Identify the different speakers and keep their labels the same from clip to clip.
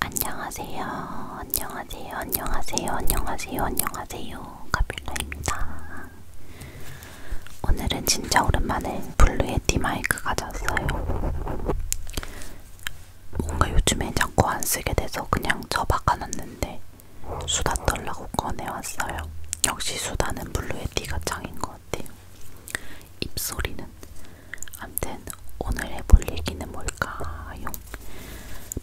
Speaker 1: 안녕하세요. 안녕하세요. 안녕하세요. 안녕하세요. 안녕하세요. 카필라입니다. 오늘은 진짜 오랜만에 블루에티 마이크 가져왔어요. 뭔가 요즘에 자꾸 안 쓰게 돼서 그냥 접박아놨는데 수다 떨라고 꺼내왔어요. 역시 수다는 블루에티가 짱인 것 같아요. 입소리는 암튼 오늘 해볼 얘기는 뭘까요?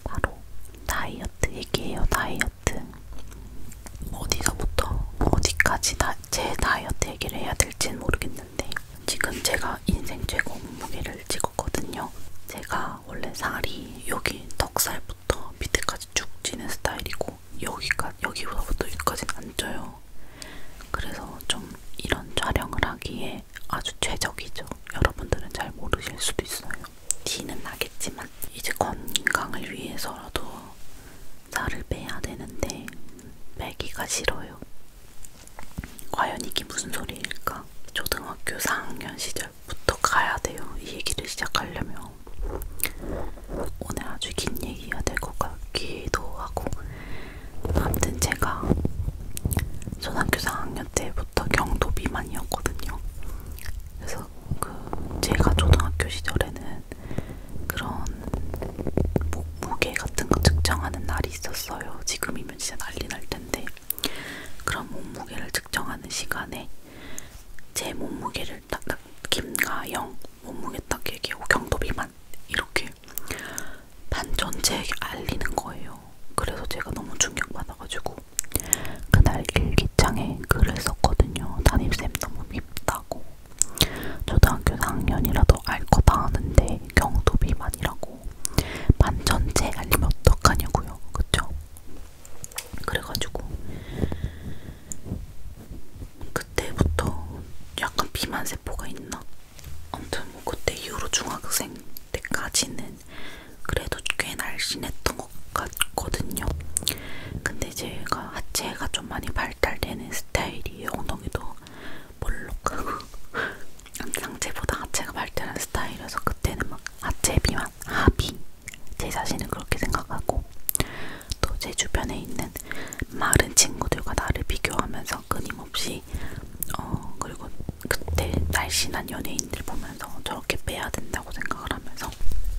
Speaker 1: 바로 다이어트 얘기예요. 다이어트 어디서부터 어디까지 다, 제 다이어트 얘기를 해야 될지는 모르겠는데 지금 제가 인생 최고 몸무게를 찍었거든요. 제가 원래 살이 여기 턱살부터 밑에까지 쭉 찌는 스타일이고 여기까지 여기서부터 여기까지는 안 쪄요. 그래서 좀 이런 촬영을 하기에 아주 최적이죠. 여러분들은 잘 모르실 수도 있어요. 티는 나겠지만 이제 건강을 위해서라도 살을 빼야 되는데 빼기가 싫어요. 과연 이게 무슨 소리일까? 초등학교 4학년 시절부터 가야 돼요. 이 얘기를 시작하려면 오늘 아주 긴 얘기가 될 것 같기도 하고 아무튼 제가 초등학교 4학년 때부터 경도 비만이었거든요. 그래서 그 제가 초등학교 시절에는 그런 목, 무게 같은 거 측정하는 날이 있었어요. 지금이면 진짜 난리 날 텐데 그런 몸무게를 측정하는 시간에 제 몸무게를 딱딱 김가영 몸무게 딱 얘기하고 경도 비만 이렇게 반 전체에게 알리는 거예요. 그래서 제가 너무 충격받아가지고 그날 일기장에 글을 썼거든요. 담임쌤 너무 밉다고. 초등학교 4학년이라도 알 거 다 아는데 경도비만이라고. 반 전체 알리면 어떡하냐고요. 그쵸? 그래가지고 그때부터 약간 비만세포가 있나? 아무튼 뭐 그때 이후로 중학생 때까지는 그래도 꽤 날씬했던 것 같거든요. 근데 제가 하체가 좀 많이 발달되는 스타일이에요. 엉덩이도 볼록하고 상체보다 하체가 발달한 스타일이라서 그때는 막 하체 비만, 하비 제 자신을 그렇게 생각하고 또 제 주변에 있는 마른 친구들과 나를 비교하면서 그 끊임없이 어 그리고 그때 날씬한 연예인들 보면서 저렇게 빼야 된다고 생각을 하면서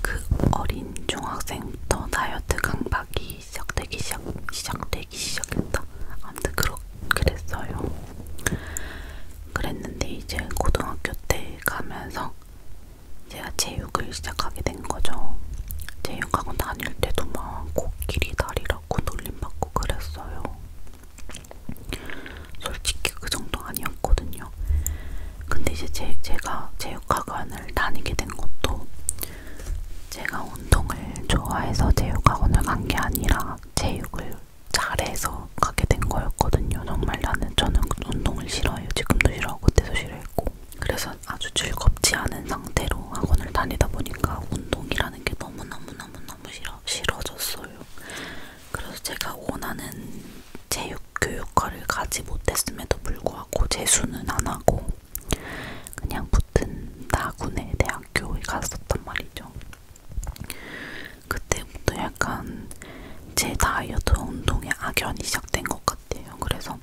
Speaker 1: 그 어린 중학생부터 다이어트 강박이 시작되기 시작 시작되기 시작했다. 아무튼 그렇 그랬어요. 그랬는데 이제 고등학교 때 가면서 제가 체육을 시작하게 된 거죠. 체육학원 다닐 때도 막 코끼리 다리라고 놀림받고 그랬어요. 솔직히 그 정도 아니었거든요. 근데 이제 제, 제가 체육학원을 다니게 된 것도 제가 운동을 좋아해서 체육학원을 간 게 아니라 체육을 잘해서 가게 된 거였거든요. 정말 나는 저는 운동을 싫어해요. 지금도 싫어하고 그때도 싫어했고. 그래서 아주 즐겁지 않은 상태로 학원을 다니다 보니까 운동이라는 게 너무너무너무너무 싫어, 싫어졌어요. 그래서 제가 원하는 체육 교육과를 가지 못했음에도 불구하고 재수는 안 하고 그냥 붙은 나군의 대학교에 갔었단 말이죠. 그때부터 약간 제 다이어트 운동에 악연이 시작된 것 같아요. 그래서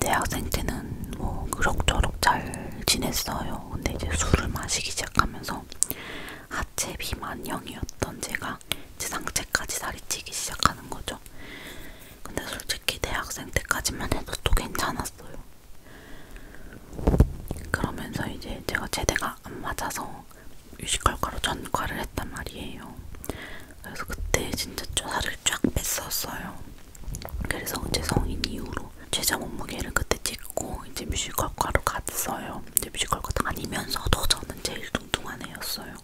Speaker 1: 대학생 때는 뭐 그럭저럭 잘 지냈어요. 근데 이제 술을 마시기 시작하면서 하체 비만형이었던 제가 제 상체까지 살이 찌기 시작하는 거죠. 근데 솔직히 대학생 때까지만 해도 또 괜찮았어요. 그러면서 이제 제가 제대가 안 맞아서 뮤지컬과로 전과를 했단 말이에요. 그래서 그때 진짜 살을 쫙 뺐었어요. 그래서 이제 성인 이후로 최저 몸무게를 그때 찍고 이제 뮤지컬과로 갔어요. 이제 뮤지컬과 다니면서도 저는 제일 뚱뚱한 애였어요.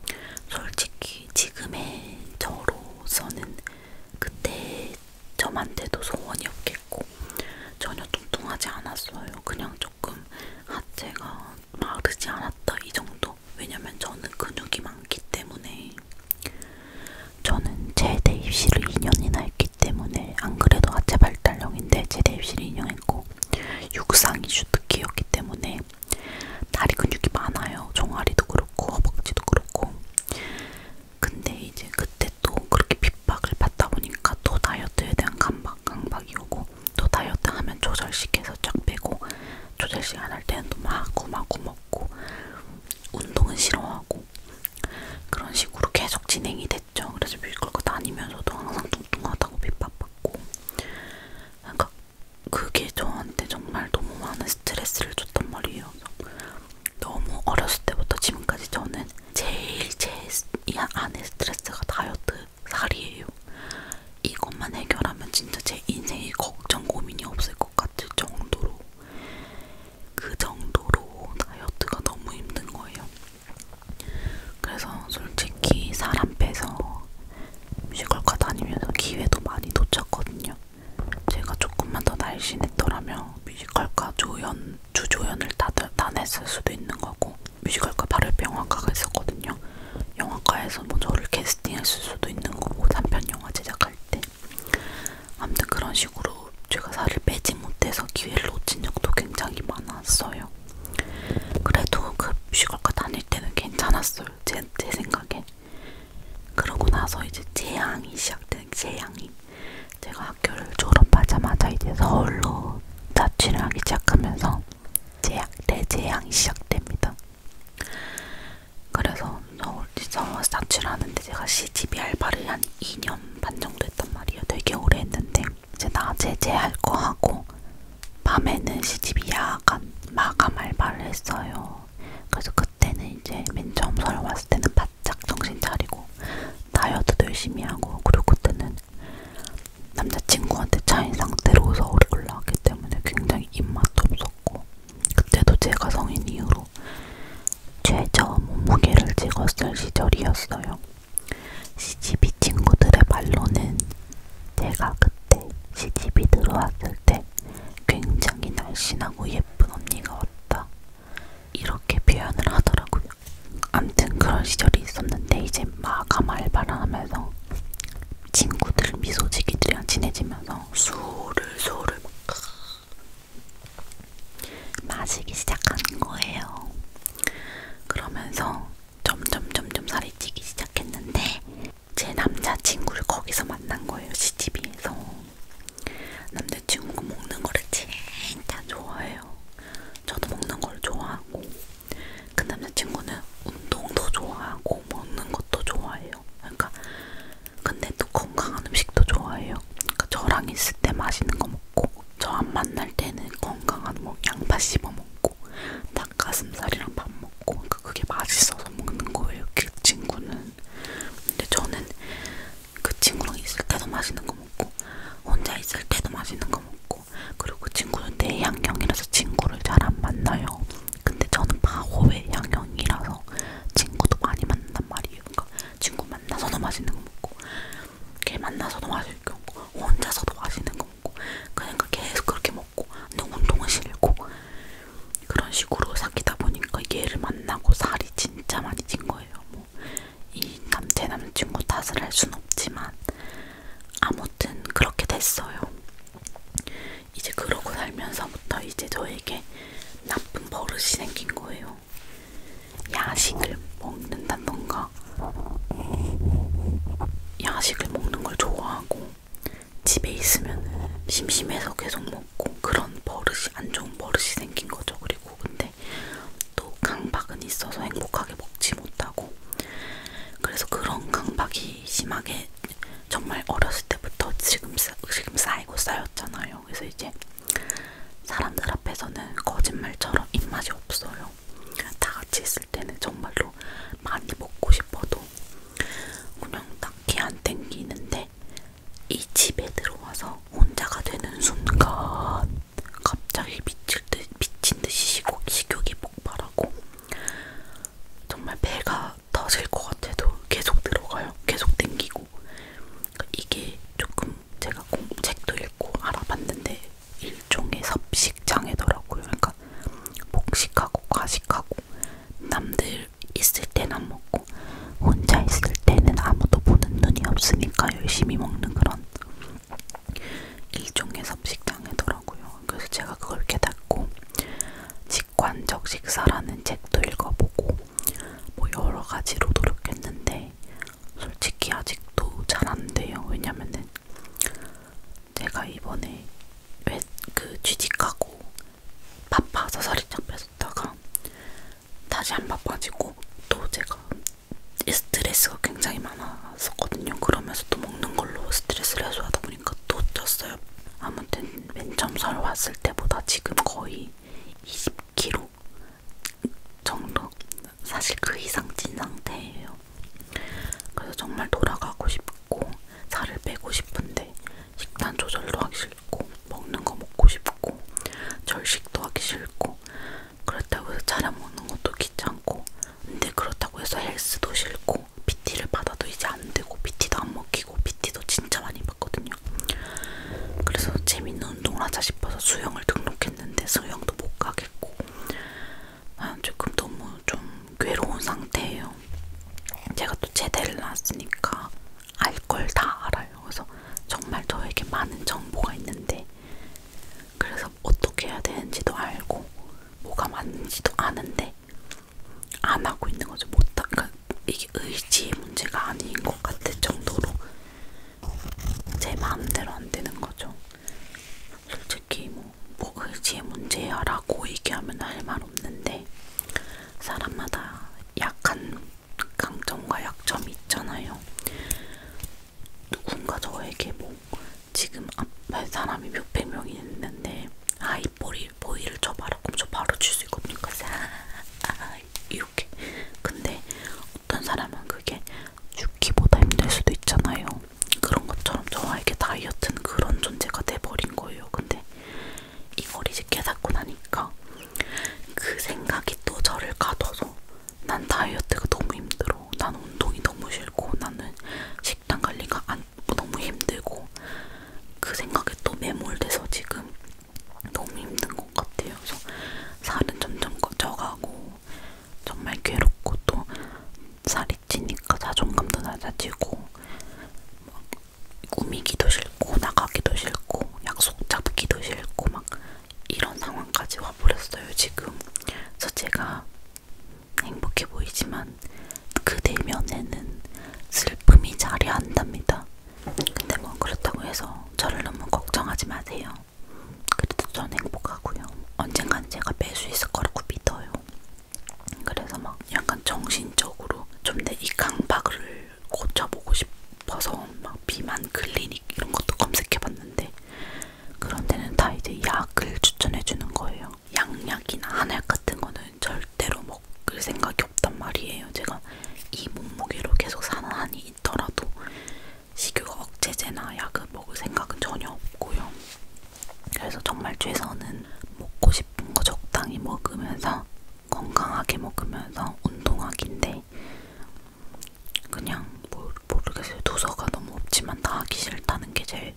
Speaker 1: 솔직히 지금의 저로서는 그때 저한테도 소원이 없겠고 전혀 뚱뚱하지 않았어요. 그냥 조금 하체가 아, 마르지 않았다 이 정도. 정도? 왜냐면 저는 근육이 그 많기 때문에 저는 제대 입시를 2년이나 했기 때문에 안 그래도 하체 발달형인데 제대 입시를 2년 했고 육상 이슈 특기였기 때문에 다리 근육이 많아요. 종아리도 그렇고 허벅지도 그렇고 근데 이제 그때 또 그렇게 핍박을 받다 보니까 또 다이어트에 대한 강박, 강박이 오고 또 다이어트 하면 조절식에서 쫙 빼고 조절식 안할 때는 또 마구마구 뭐 먹고 운동은 싫어하고 그런 식으로 계속 진행이 됐죠. 그래서 뮤지컬 거 다니면서도 항상 뚱뚱하다고 핍박받고 그러니까 그게 저한테 정말 너무 많은 스트레스를 줬단 말이에요. 너무 어렸을 때부터 지금까지 저는 제일 제 안에 스트레스가 다이어트 살이에요. 이것만 해결하면 진짜 제 인생에 걱정 고민이 없을 것 같을 정도로 그 정도로 다이어트가 너무 힘든 거예요. 그래서 솔직히 사람 빼서 뮤지컬과 다니면서 기회도 많이 놓쳤거든요. 제가 조금만 더 날씬했더라면 뮤지컬과 조연, 주조연을 다, 다 냈을 수도 있는 거고 뮤지컬과 발효병원과가 있었거든요. 영화과에서 뭐 저를 캐스팅했을 수도 있는 거고 단편 영화 제작할 때 아무튼 그런 식으로 제가 살을 빼지 못해서 기회를 놓친 적도 굉장히 많았어요. 그래도 급식을과 그 다닐 때는 괜찮았어요. 제, 제 생각에. 그러고 나서 이제 재앙이 시작된 재앙이 제가 학교를 졸업하자마자 이제 서울로 자취를 하기 시작하면서 재앙, 대재앙이 시작됩니다. 그래서 서울, 서울에서 자취를 하는데 제가 시집이 알바를 한 2년 반 정도 했단 말이에요. 되게 오래 했는데 이제 낮에 제할거 하고 밤에는 시집이 야간 마감 알바를 했어요. 그래서 그때는 이제 맨 처음 서울 왔을 때는 바짝 정신 차리고 다이어트도 열심히 하고 그리고 그때는 남자친구한테 차인 상태로 서울에 올라왔기 때문에 굉장히 입맛도 없었고 그때도 제가 성인 이후로 최저 몸무게를 찍었을 시절이었어요. 시집이 친구들의 말로는 제가 그때 시집이 들어왔을 때 굉장히 날씬하고 예쁜 언니가 왔다. 이렇게 표현을 하더라고요. 암튼 그런 시절이 있었는데 이제 마감 알바를 하면서 친구들 미소지기들이랑 친해지면서 술을 술을 막 마시기 시작한 거예요. 그러면서 점점 점점 살이 찌기 시작했는데 제 남자친구를 거기서 만난 거예요. 시집이에서 남자친구가 먹는 거를 진짜 좋아해요. 저도 먹는 걸 좋아하고 그 남자친구는 운동도 좋아하고 먹는 것도 좋아해요. 그러니까 근데 또 건강한 음식도 좋아해요. 그러니까 저랑 있을 때 맛있는 거 먹고 저 안 만날 때는 건강한 뭐 양파 씹어 먹고 닭가슴살이랑 밥 먹고 그러니까 그게 맛있어서 먹는 거예요. 그 친구는. 근데 저는 그 친구랑 있을 때도 맛있는 거 먹고 혼자 있을 때도 맛있는 거 먹고 그리고 그 친구는 내향형이라서 친구를 잘 안 만나요. 근데 저는 바호의 향형이라서 친구도 많이 만난단 말이에요. 그러니까 친구 만나서도 맛있는 거 먹고, 걔 만나서도 맛있는 거 먹고, 혼자서도 맛있는 거 먹고, 그러니까 계속 그렇게 먹고, 근데 운동은 싫고 그런 식으로 사귀다 보니까 얘를 만나고 살이 진짜 많이 찐 거예요. 뭐이 남제 남친구 탓을 할 순 없지만 아무튼 그렇게 됐어요. 이제 그러고 살면서부터 이제 저에게 나쁜 버릇이 생긴 거예요. 야식을 먹는다던가, 야식을 먹는 걸 좋아하고, 집에 있으면 심심해서 계속 먹고, 그런 버릇이, 안 좋은 버릇이 생긴 거죠. 그리고 근데 또 강박은 있어서 행복하게 먹지 못하고, 그래서 그런 강박이 심하게 정말 어렸을 때부터 지금, 지금 쌓이고 쌓였잖아요. 그래서 이제 사람들 앞에서는 거짓말처럼 입맛이 없어요. 다 같이 있을 때는 정말로 많이 먹고 싶어도 그냥 딱히 안 땡기는데 이 집에 들어와서 혼자가 되는 순간 갑자기 미칠 듯, 미친 듯이 식욕이 폭발하고 정말 배가 터질 것 같아도 계속 들어가요. 계속 땡기고 이게 조금 제가 책도 읽고 알아봤는데 일종의 섭식장애더라고요. 그러니까 복식하고 과식하고 남들 있을 때는 먹고 혼자 있을 때는 아무도 보는 눈이 없으니까 열심히 먹는 그런 일종의 섭식장애더라고요. 거예요. 그래서 제가 그걸 깨닫고 직관적 식사라는 책도 읽어보고 뭐 여러 가지로 노력했는데 솔직히 아직도 잘 안 돼요. 왜냐면은 제가 이번에 왜 그 취직하고 바빠서 살이 쫙 뺐었다가 다시 안 바빠지고 또 제가 스트레스가 굉장히 많아 나왔었거든요. 그러면서 또 먹는 걸로 스트레스를 해소하다 보니까 또 쪘어요. 아무튼 맨 처음 설 왔을 때보다 지금 거의 20kg 정도 사실 그 이상 찐 상태예요. 그래서 정말 돌아가고 싶고 살을 빼고 싶은데 식단 조절도 하기 싫고 먹는 거 먹고 싶고 절식도 하기 싫고 그렇다고 해서 차려 먹는 것도 귀찮고 근데 그렇다고 해서 헬스도 싫고 PT를 받아도 이제 안 되고 PT도 안 먹히고 PT도 진짜 많이 받거든요. 그래서 재밌는 운동을 하자 싶어서 수영을 등록했는데 수영도 못 가겠고 아, 조금 너무 좀 괴로운 상태예요. 제가 또 제대를 나왔으니까 알 걸 다 알아요. 그래서 정말 저에게 많은 정보가 있는데 그래서 어떻게 해야 되는지도 알고 뭐가 맞는지도 아는데 안 하고 있는 거죠. 못 하, 그러니까 이게 의지의 문제가 아닌 것 같을 정도로 제 마음대로 안 되는 거죠. 솔직히 뭐, 뭐 의지의 문제야라고 얘기하면 할 말 없는데 사람마다 약한 강점과 약점이 있잖아요. 누군가 저에게 뭐 지금 앞에 사람이 몇백 명이 있는데 아이 보이, 보이를 쳐봐라 그럼 저 바로 칠수 있거든요 그래서 아, 아, 이렇게 근데 어떤 사람은 그게 죽기보다 힘들 수도 있잖아요 그런 것처럼 저에게 다이어트는 그런 존재가 돼버린 거예요 근데 이걸 이제 깨닫고 나니까 그 생각이 또 저를 가둬서 난 다이어트가 너무 힘들어 싫어. 난 운동이 너무 싫고 나는 식단 관리가 안, 너무 힘들고 그 생각에 또 매몰돼서 지금 너무 힘든 것 같아요. 그래서 살은 점점 쪄가고 정말 괴롭고 또 살이 찌니까 자존감도 낮아지고 막 꾸미기도 싫고 나가기도 싫고 약속 잡기도 싫고 막 이런 상황까지 와버렸어요 지금. 그래서 제가 행복해 보이지만 그 내면에는 슬픔이 자리한답니다. 근데 뭐 그렇다고 해서 저를 너무 걱정하지 마세요. 그래도 전 행복하고요. 언젠간 제가 뺄수 있을 거라고 믿어요. 그래서 막 약간 정신적으로 좀 내 이 강박을 고쳐보고 싶어서 막 비만 클리닉 이런 것도 검색해봤는데 그런 데는 다 이제 약을 추천해 주는 거예요. 양약이나 한약 같은 거는 절대로 먹을 생각이 없단 말이에요. 제가 이 몸무게로 계속 사는 한이 있더라도 식욕 억제제나 약을 먹을 생각은 전혀 없고요. 그래서 정말 최선은 먹고 싶은 거 적당히 먹으면서 건강하게 먹으면서 운동하기인데 그냥 모, 모르겠어요. 도서가 너무 없지만 나 하기 싫다는 게 제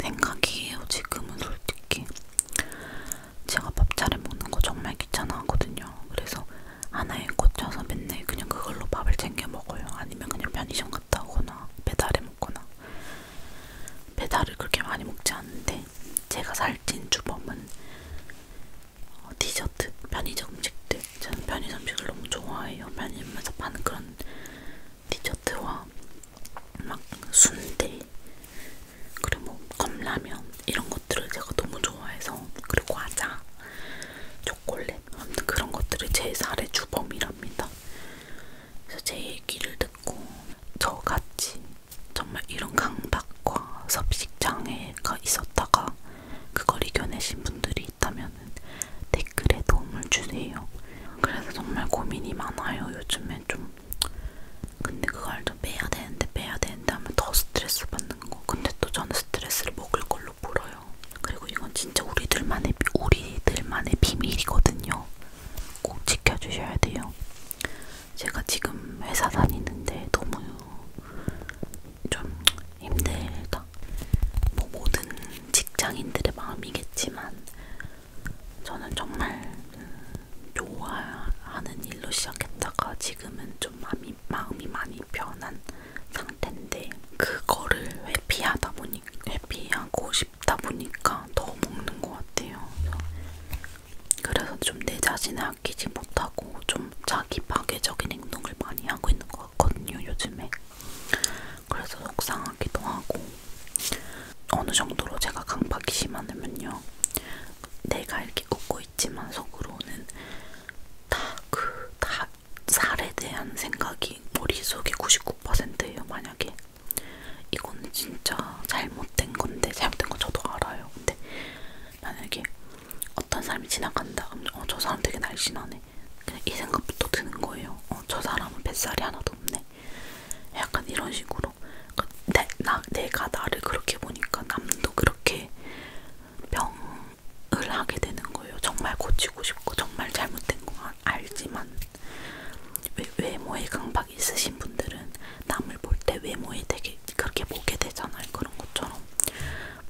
Speaker 1: 생각이에요. 지금은 솔직히. 제가 밥 차려 먹는 거 정말 귀찮아하거든요. 그래서 하나에 꽂혀서 맨날 그냥 그걸로 밥을 챙겨 먹어요. 아니면 그냥 편의점 갔다 오거나 배달해 먹거나. 배달을 그렇게 많이 먹지 않는데 제가 살찐 주범은 어, 디저트, 편의점 음식들 저는 편의점 음식을 너무 좋아해요. 편의점에서 파는 그런 디저트와 막 순대, 그리고 뭐 컵라면 이런 것들을 제가 너무 좋아해서 그리고 과자, 초콜릿 아무튼 그런 것들이 제 살의 주범이랍니다. 그래서 제 얘기를 듣고 저같이 정말 이런 강박과 섭식장애가 있었다가 그걸 이겨내신 분들이 있다면 댓글에 도움을 주세요. 그래서 정말 고민이 많아요. 요즘에 좀 근데 그걸 또 빼야 되는데 빼야 되는데 하면 더 스트레스 받는 거. 근데 또 저는 스트레스를 먹을 걸로 물어요. 그리고 이건 진짜 우리들만의 우리들만의 비밀이거든요. 꼭 지켜주셔야 돼요. 제가 지금 회사 다니는데 너무 좀 힘들다. 뭐 모든 직장인들의 마음이겠지만 저는 정말 음, 좋아하는 일로 시작했다가 지금은 좀 마음이, 마음이 많이 변한 상태인데 그거를 회피하다 보니 회피하고 싶다 보니까 더 먹는 것 같아요. 그래서 좀 내 자신을 아끼지 못하고 좀 자. 자기 파괴적인 행동을 많이 하고 있는 것 같거든요, 요즘에. 그래서 속상하기도 하고, 어느 정도로 제가 강박이 심하면요, 내가 이렇게 웃고 있지만 속으로는 다 그 다 살에 대한 생각이 머릿속에 99%예요, 만약에. 이거는 진짜 잘못된 건데, 잘못된 건 저도 알아요. 근데 만약에 어떤 사람이 지나간다. 어, 저 사람 되게 날씬하네. 그냥 이 생각부터 드는 거예요. 어, 저 사람은 뱃살이 하나도 없네. 약간 이런 식으로. 그러니까 내, 나, 내가 나를 그렇게 보니까 남도 그렇게 병을 하게 되는 거예요. 정말 고치고 싶고 정말 잘못된 거 아, 알지만 외, 외모에 강박이 있으신 분들은 남을 볼 때 외모에 되게 그렇게 보게 되잖아요. 그런 것처럼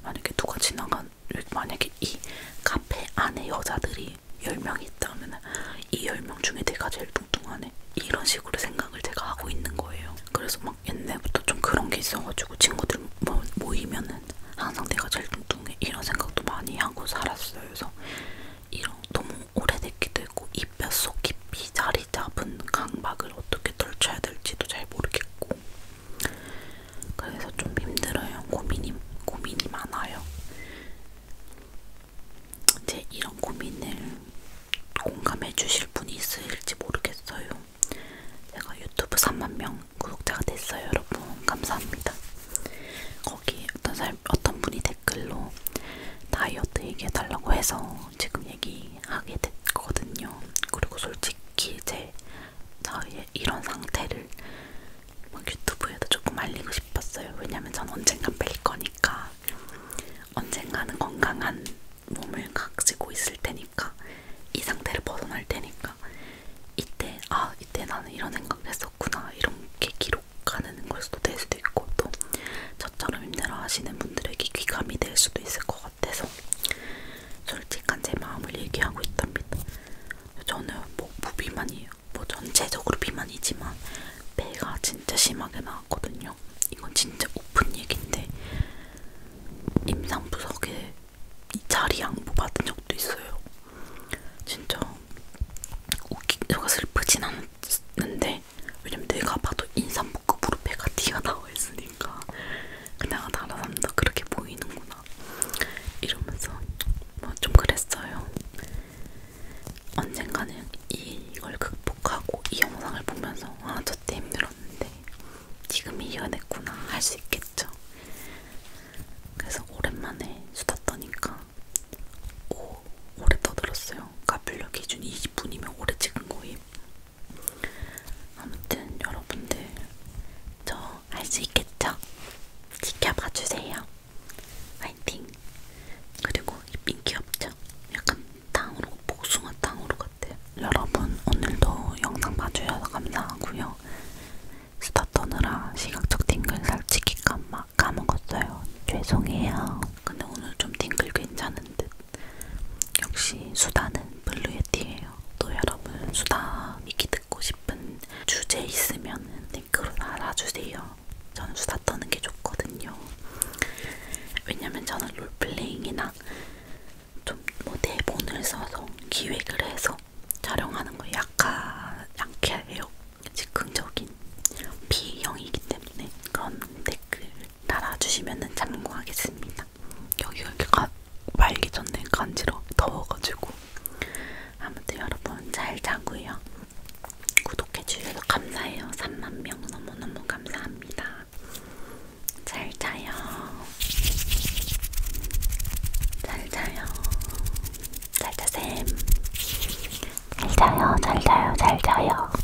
Speaker 1: 만약에 누가 지나가 그러면 만약에 이 카페 안에 여자들이 10명이 있다면 이 10명 중에 내가 제일 뚱뚱하네 이런 식으로 생각을 제가 하고 있는 거예요 그래서 막 옛날부터 좀 그런 게 있어가지고 친구들 모, 모이면은 항상 내가 제일 뚱뚱해 이런 생각도 많이 하고 살았어요 그래서 이런 너무 오래됐기도 했고 이 뼛속 깊이 자리 잡은 강박을 어떻게 떨쳐야 될지도 잘 모르겠고 그래서 좀 힘들어요. 고민이 고민이 많아요. 제 이런 고민을 공감해 주실 분이 있을지 모르겠어요. 제가 유튜브 3만 명 구독자가 됐어요, 여러분. 감사합니다. 거기 어떤 사람, 어떤 분이 댓글로 다이어트 얘기해달라고 해서 지금 얘기하게 됐거든요. 그리고 솔직히 제 저희의 이런 상태를 막 유튜브에도 조금 알리고 싶었어요. 왜냐면 전 언젠간 뵐 거니까 언젠가는 건강한 몸을 가지고 있을 테니까 이 상태를 벗어날 테니까 이때 아 이때 나는 이런 생각을 했었구나 이렇게 기록하는 걸 수도 될 수도 있고 또 저처럼 힘들어하시는 분들에게 귀감이 될 수도 있을 것 같아요. 같아서 솔직한 제 마음을 얘기하고 있답니다. 저는 뭐 무비만이에요. 뭐 전체적으로 비만이지만 배가 진짜 심하게 나왔거든요. 이건 진짜 오픈 얘기인데 임상 부석에 자리 양보 받은 적도 있어요. 진짜 웃기, 제가 슬프진 않았는데 왜냐면 내가 봐도 인삼복급으로 배가 티가 나와 있으니까. 보니까 그냥 나라람도 그렇게 보이는구나 이러면서 뭐좀 그랬어요. 언젠가는 이걸 극복하고 이 영상을 보면서 아 저 때 힘들었는데 지금 이겨냈구나 할 수 있겠죠. 그래서 오랜만에 수다 떠니까 오, 오래 떠들었어요. 카필러 기준 20분이면 오래 찍은 거임. 아무튼 여러분들 저 할 수 있겠죠? 지켜봐 주세요. 화이팅! 그리고 이 귀엽죠? 약간 탕후루, 복숭아 탕후루 같아요. 여러분 오늘도 영상 봐주셔서 감사하고요. 수다 떠느라 시각적 딩글 살찌기 까마, 까먹었어요. 죄송해요. 근데 오늘 좀 딩글 괜찮은 듯. 역시 수다는 블루예티예요. 또 여러분 수다 얘기 듣고 싶은 주제 있으면 댓글로 달아주세요. 저는 수다 떠는 게 좋거든요. 왜냐면 저는 롤플레잉이나 좀 뭐 대본을 써서 기획을 해서 촬영하는 거 약하, 약해요. 즉흥적인 B형이기 때문에 그런 댓글 달아주시면 참고하겠습니다. 있습니다. 여기가 이렇게 가, 말리졌네 간지러 더워가지고 아무튼 여러분 잘 자고요. 구독해 주셔서 감사해요. 3만 명 너무 너무 감사합니다. 잘 자요. 잘 자요. 잘 자셈. 잘 자요. 잘 자요. 잘 자요.